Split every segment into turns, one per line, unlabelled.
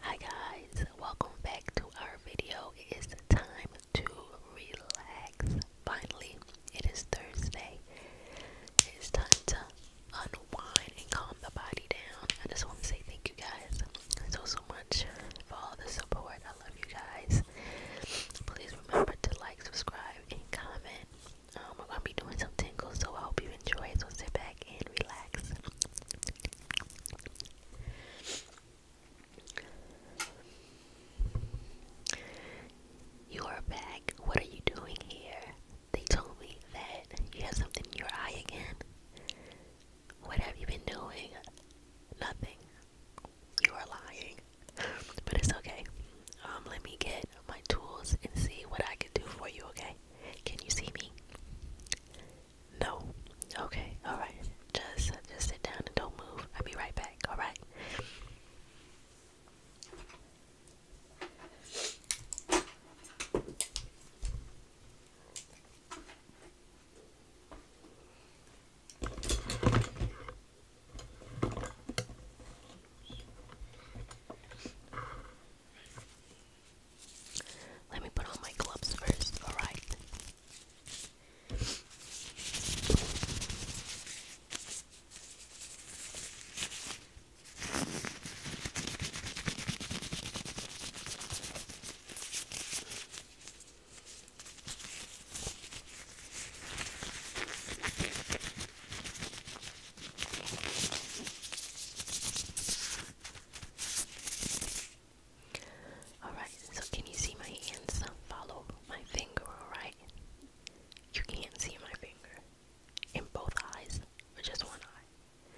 Hi guys, welcome back to our video. It is time to relax. Finally, it is Thursday. It's time to unwind and calm the body down. I just want to say thank you guys so so much for all the support. I love you guys. Please remember to like, subscribe, and comment. Um, we're gonna be doing some tingles, so I hope you enjoy. So sit back and relax. You are back. What are you doing here? They told me that you have something in your eye again. What have you been doing? Nothing. You are lying. But it's okay. Um, let me get my tools and see what I can do for you, okay? Can you see me? No. Okay. All right. Just just sit down and don't move. I'll be right back. All right. Let me put on my gloves first, alright? Alright, so can you see my hands? Follow my finger, alright? You can't see my finger. In both eyes, or just one eye?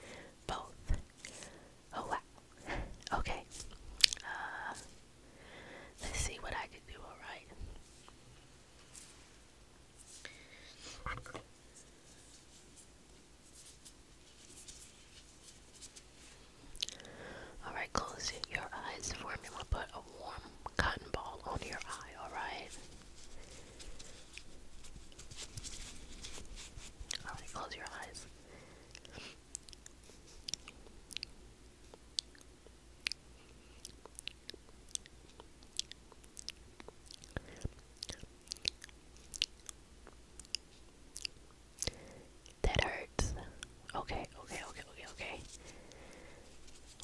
Both. Oh wow. Okay. Uh, let's see what I can do, alright? Alright, close your eyes for me. We'll put a warm cotton ball on your eye, alright? Alright, close your eyes. That hurts. Okay, okay, okay, okay, okay.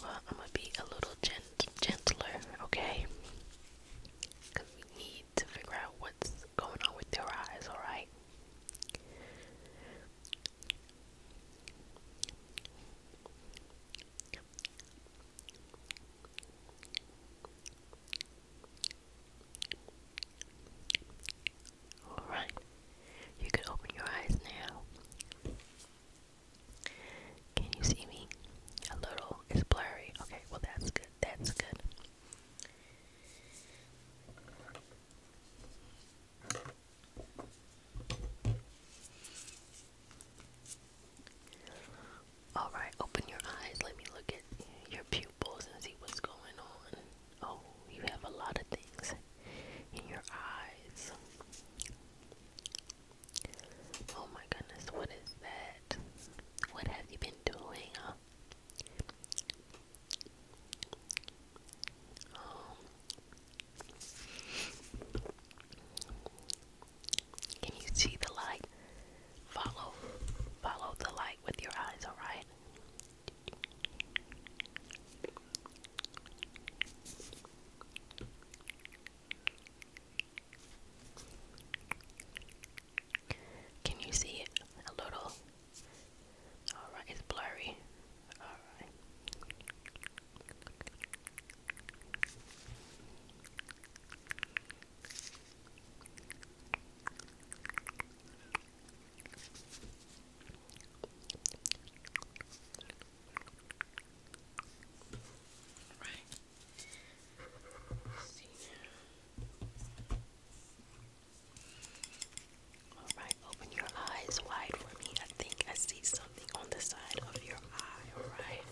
Well, I'm gonna be a little gent gentler, okay? Because we need to figure out what's going on with their eyes, alright? Alright, you can open your eyes now. Can you see me? A little. It's blurry. Okay, well, that's good. That's good. Alright, open your eyes. Let me look at your pupils and see what's going on. Oh, you have a lot of things in your eyes. Oh my goodness, what is that? What have you been doing? Um, can you see the light? Follow, follow the light with your eyes, alright? Can you see it a little? Alright, it's blurry. Alright. Right. Let's see. Alright, open your eyes wide for me. I think I see something on the side of your eye, alright?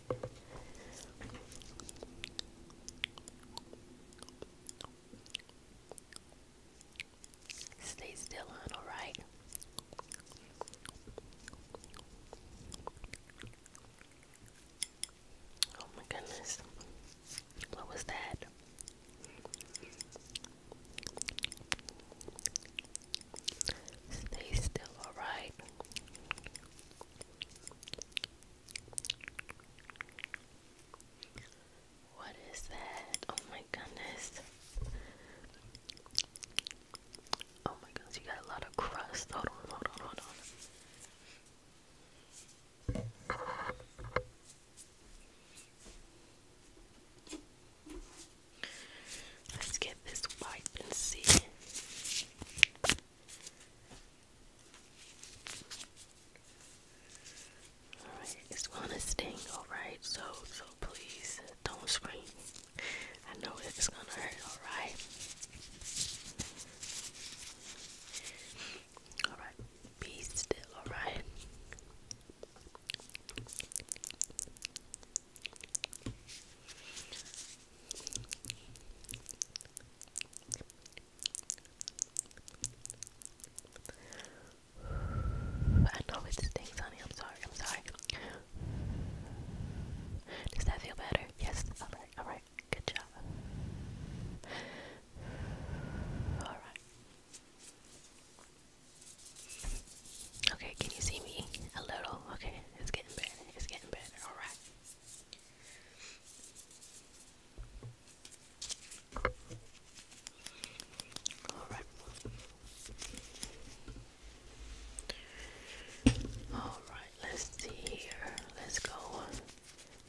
Stay still on, alright? Oh my goodness. What was that? Stay still, alright? What is that? Oh my goodness. Oh my goodness, you got a lot of crust. Hold on, hold on, hold on. Let's get this wipe and see. Alright, it's gonna sting, alright? So, so please don't scream. I know it's gonna hurt, alright? Alright, be still, alright? I know it stinks, honey. I'm sorry. I'm sorry. Does that feel better? Yes. All right. All right. Good job. All right. Okay. Can you see me a little? Okay. It's getting better. It's getting better. All right. All right. All right, let's see here. Let's go.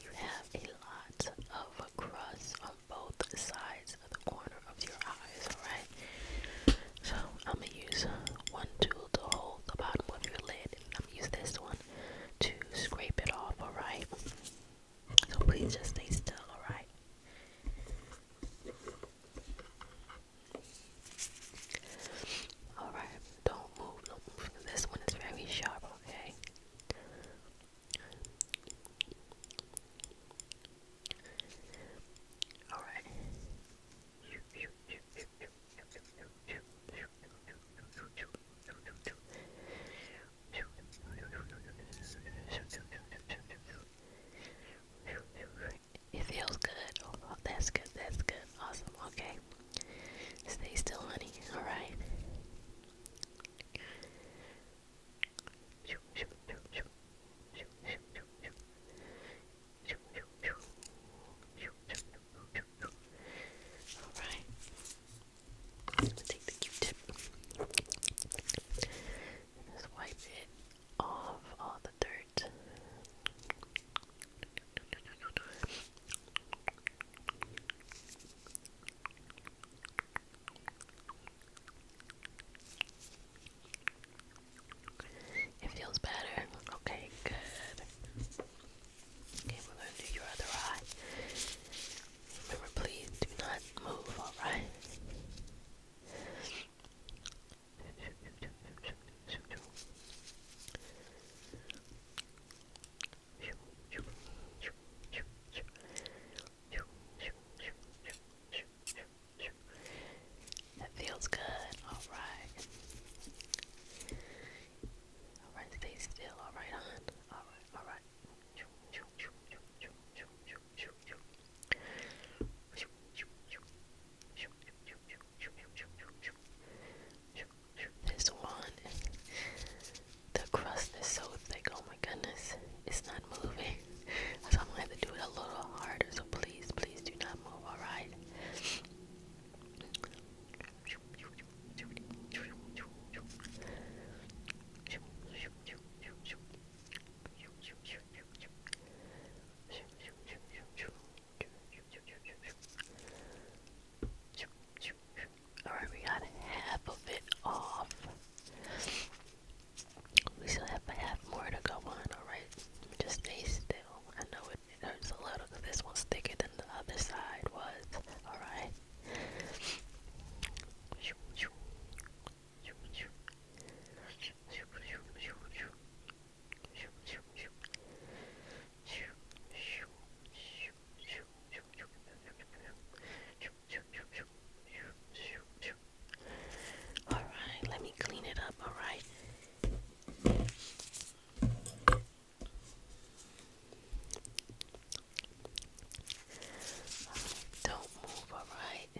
You have a lot of crust on both sides of the corner of your eyes, all right? So, I'm going to use one tool to hold the bottom of your lid, I'm going to use this one to scrape it off, alright? So please just stay still, alright? Alright, don't move, don't move. This one is very sharp, okay? Alright. It feels good. Oh, that's good. That's good. Awesome. Okay. Stay still, honey. All right. Alright. I'm gonna take the Q-tip just wipe it off all the dirt. It feels better. Okay, good. Okay, we're gonna do your other eye. Remember, please do not move, alright? That feels good. All right. Alright, stay still. Alright, hon. Alright, alright. This one, the crust is so thick. Oh my goodness, it's not moving. So I'm gonna have to do it a little harder. So please, please do not move. All right. All right, we got half of it off. We still have half more to go on. All right, just stay still. I know it it hurts a little this one's thicker than the other side was. Alright. Alright, let me clean it up, alright? Alright, don't move, alright?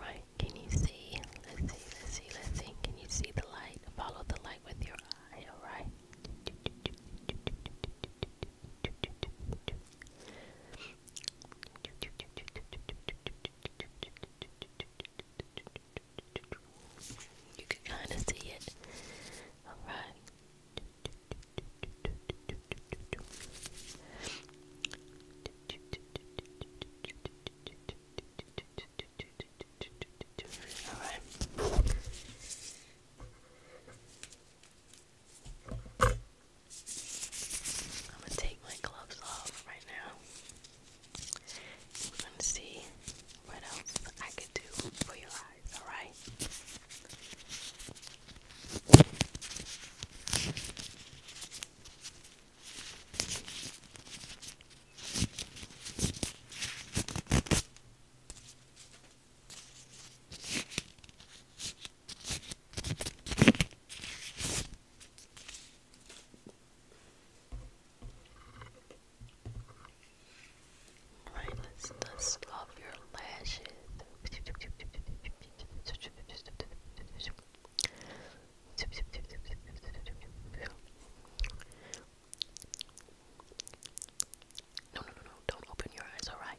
Right. can you see? Let's see, let's see, let's see. Can you see the light? Follow the light with your eye, alright? You can kind of see it. Alright. Alright. I'm gonna take my gloves off right now. we gonna see what else I could do for your eyes, alright? Alright, let's let's your lashes. No, no, no, no, don't open your eyes, alright?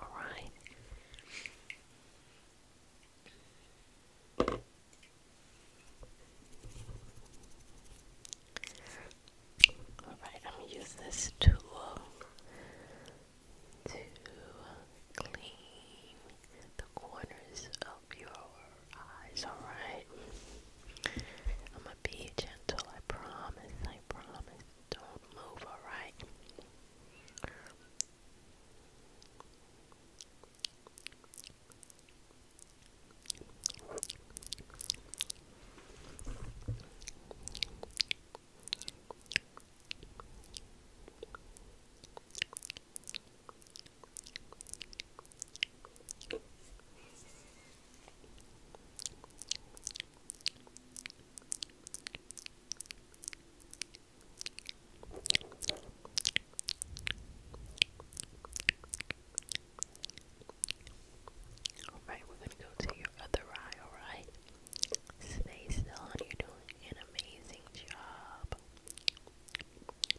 All right. All right, use this tool to clean the corners of your eyes. All I'ma be gentle, I promise, I promise. Don't move, alright? Alright, we're gonna go to your other eye, alright? Stay still and you're doing an amazing job.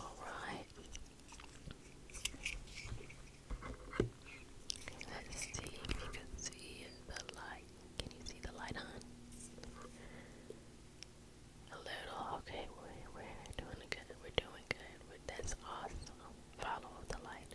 All right. Let's see if you can see the light. Can you see the light on? A little. Okay, we're, we're doing good. We're doing good. that's awesome. Follow the light.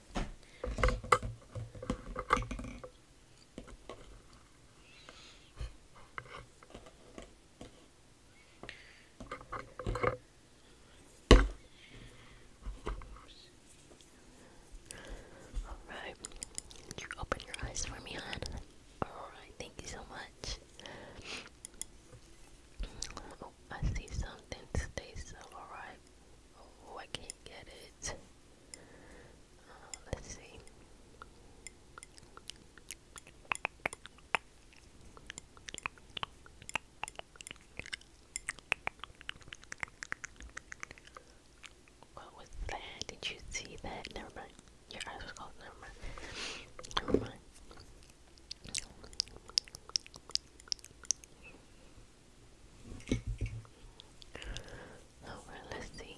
Alright, you open your eyes for me, hon. Alright, thank you so much. Oh, I see something. Stay still, alright. Oh, I can't get it. Uh, let's see. What was that? Did you see that? Never mind. Your eyes were closed. Never mind. Never mind. Alright, oh, let's see.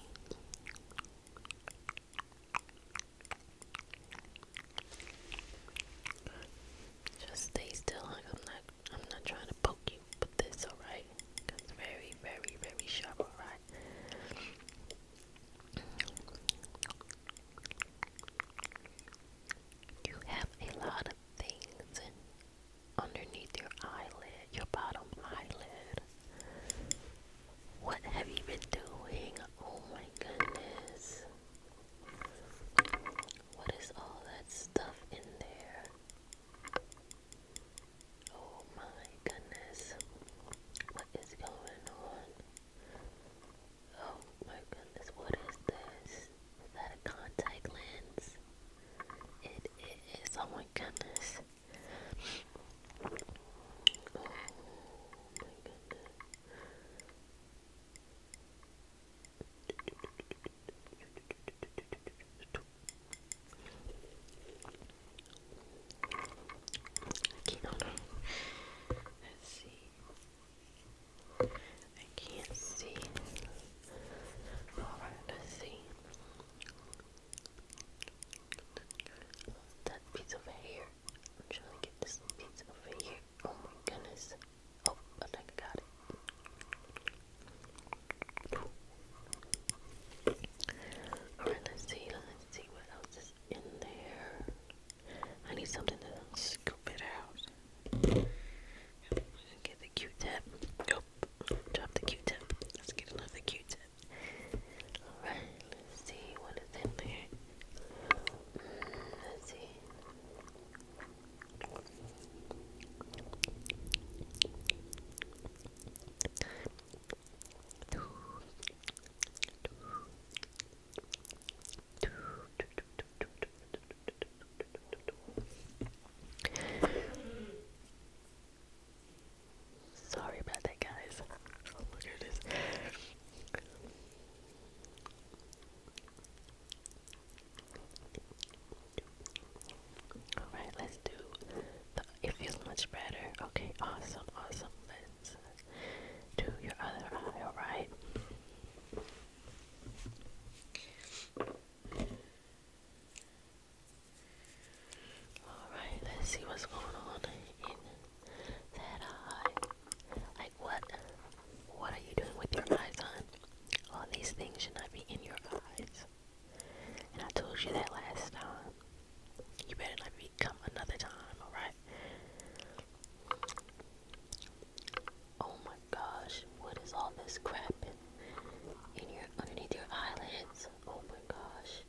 Just stay still. I'm not. I'm not trying to poke you, but this alright. It's very, very, very sharp. Alright. You have a lot of things underneath your eyelid, your bottom eyelid. What have you been doing? Oh my goodness. What is all that stuff in there? Oh my goodness. What is going on? Oh my goodness, what is this? that a contact lens? It is, oh my goodness. Oh my goodness. Okay, Let's see. I can't see. Alright, let's see. That piece over here. i to get this piece over here. Oh my goodness. Oh, I think I got it. Alright, let's see. Let's see what else is in there. I need something to scoop it out. Get the Q-tip. Go Drop the Q-tip. Let's get another Q-tip. Alright, see what is in there. let's see. Sorry about that, guys. Oh, alright, let's do it feels much better. Okay, awesome, awesome. Let's uh, do your other eye, alright? Alright, let's see what's going on in that eye. Like what what are you doing with your eyes on? All these things should not be in your eyes. And I told you that last time. You better not be another time, alright? Oh my gosh, what is all this crap in, in your underneath your eyelids? Oh my gosh.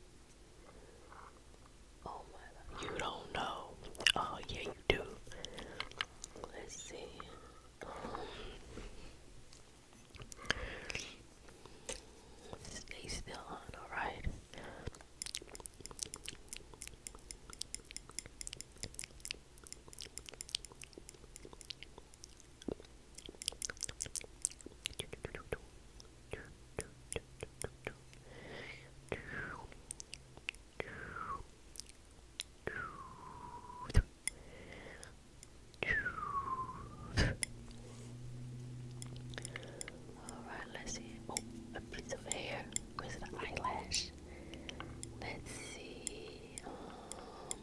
Oh my god. You don't know. Oh yeah you do. Let's see. Um, stay still on, alright? Alright, let's see. Oh, a piece of hair goes to the eyelash. Let's see. Um,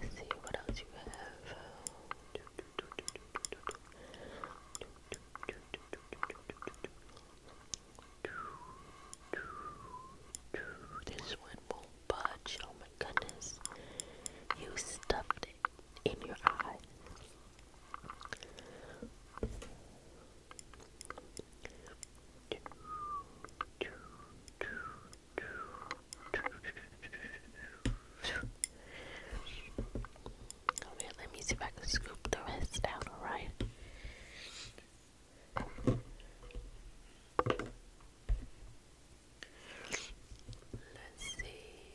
Let's see what else you have. This one won't budge. Oh my goodness. You stuffed in your eyes. let me see if I can scoop the rest down, alright? Let's see.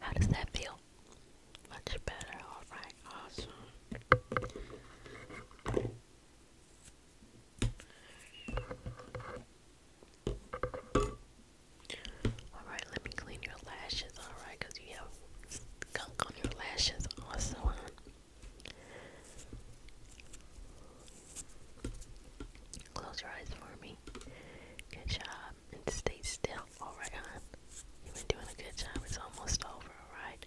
How does that feel? Much better, alright, awesome. Alright, let me clean your lashes, alright, because you have gunk on your lashes also, huh? Close your eyes for me. Good job. And stay still, alright, hon. You've been doing a good job. It's almost over, alright?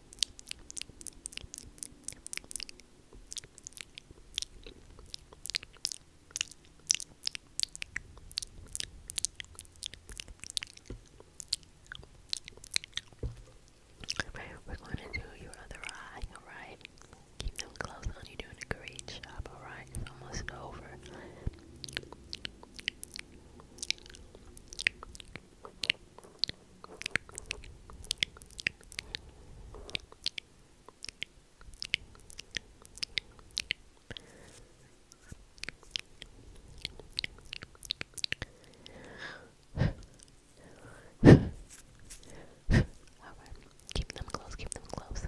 Alright, we're going to do your other eye, alright? Keep them closed on, you doing a great alright? It's almost over okay. Keep them close, keep them close.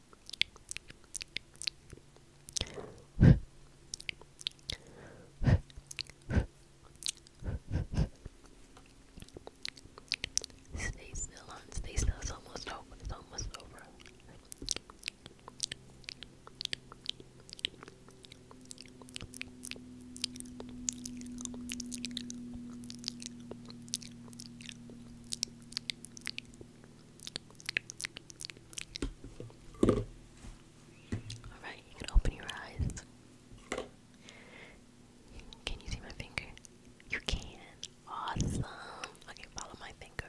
Stay still on, stay still. It's almost over. It's almost over. Alright, you can open your eyes. Can you see my finger? You can. Awesome. Okay, follow my finger.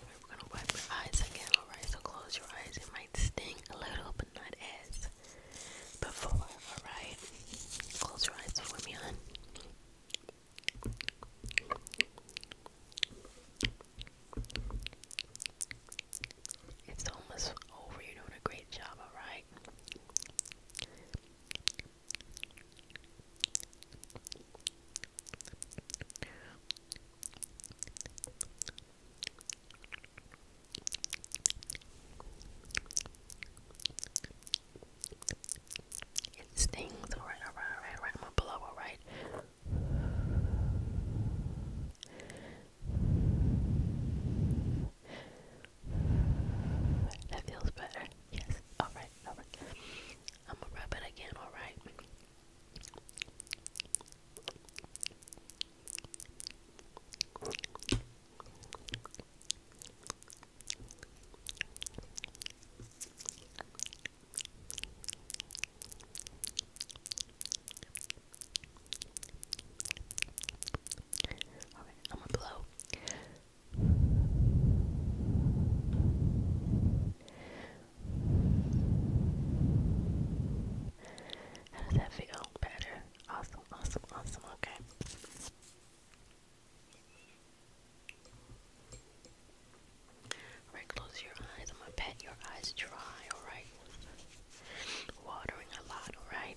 We're gonna wipe your eyes again, alright? So close your eyes. It might sting a little, but not as before, alright? Close your eyes for me, hon. It's almost over. You're doing a great job, alright? It stings, alright, alright, alright, alright, I'm gonna blow, alright. That feels better. Yes. All right. All right. I'm gonna rub it again, alright? I'm gonna blow. How does that feel? Better. Awesome, awesome, awesome. Okay. Alright, close your eyes. I'm gonna pat your eyes dry, alright? Watering a lot, alright?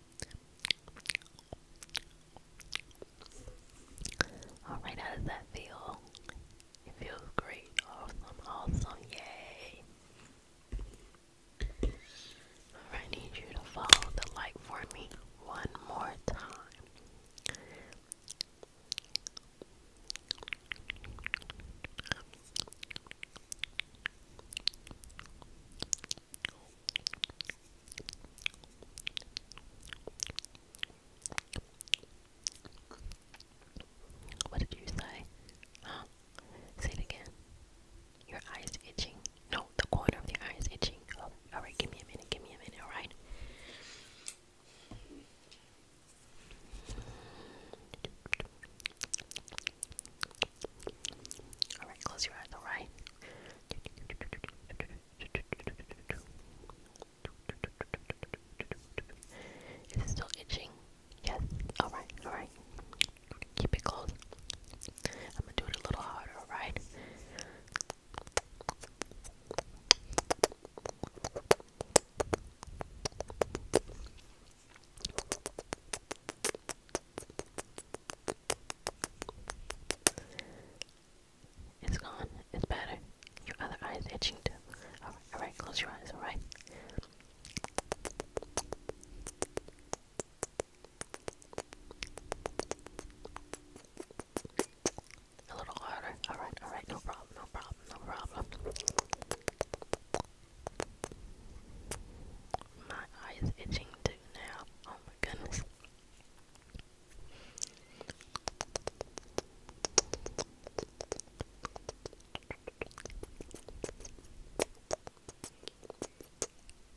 Alright, how does that feel? It feels great. Awesome, awesome, yay. Alright, I need you to follow the light for me one more time. What did you say? Say it again. Your eyes itching. No, the corner of your eye itching. Oh, alright, give me a minute, give me a minute, alright? Alright, close your eyes, alright? Is it still itching? Yes. Alright, alright. Keep it closed. I'm gonna do it a little harder, alright? It's gone. It's better. Your other eye is itching too. Alright, alright, close your eyes, alright? A little harder. Alright, alright, no problem, no problem, no problem. My eye's itching too now. Oh my goodness.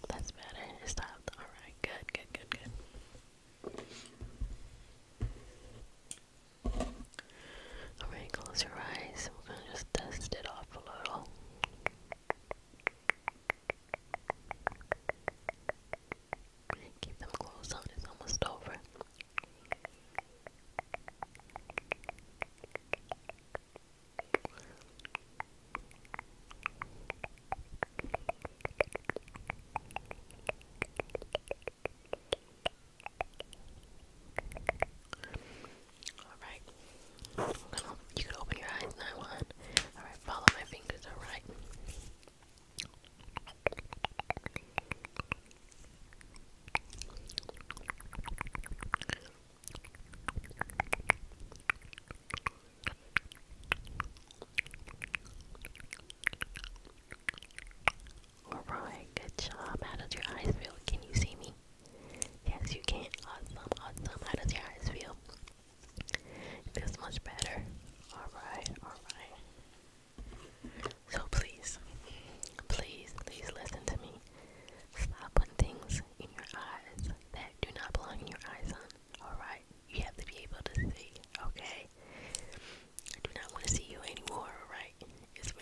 That's better. It stopped. Alright, good, good, good, good. Alright, close your eyes. We're gonna just dust it off a little. Keep them closed on, it's almost over. Alright. You can open your eyes now, one. Alright, follow my fingers, alright? Alright, good job. How does your eyes feel? Can you see me? Yes, you can. Awesome, awesome. How does your eyes feel? It feels much better. Alright, alright. So please, please, please listen to me. Stop putting things in your eyes that do not belong in your eyes, son. Alright? You have to be able to see, okay? I do not want to see you anymore, alright? It's has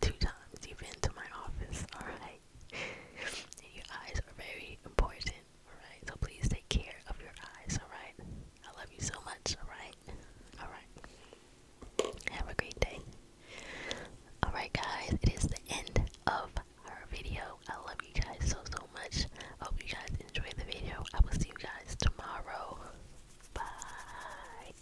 two times you've been to my office, alright? your eyes are very important, alright? So please take care of your eyes, alright? I love you so much, alright? Alright. Have a great day. Alright, guys, it is the end of our video. I love you guys so, so much. hope you guys enjoyed the video. I will see you guys tomorrow. Bye.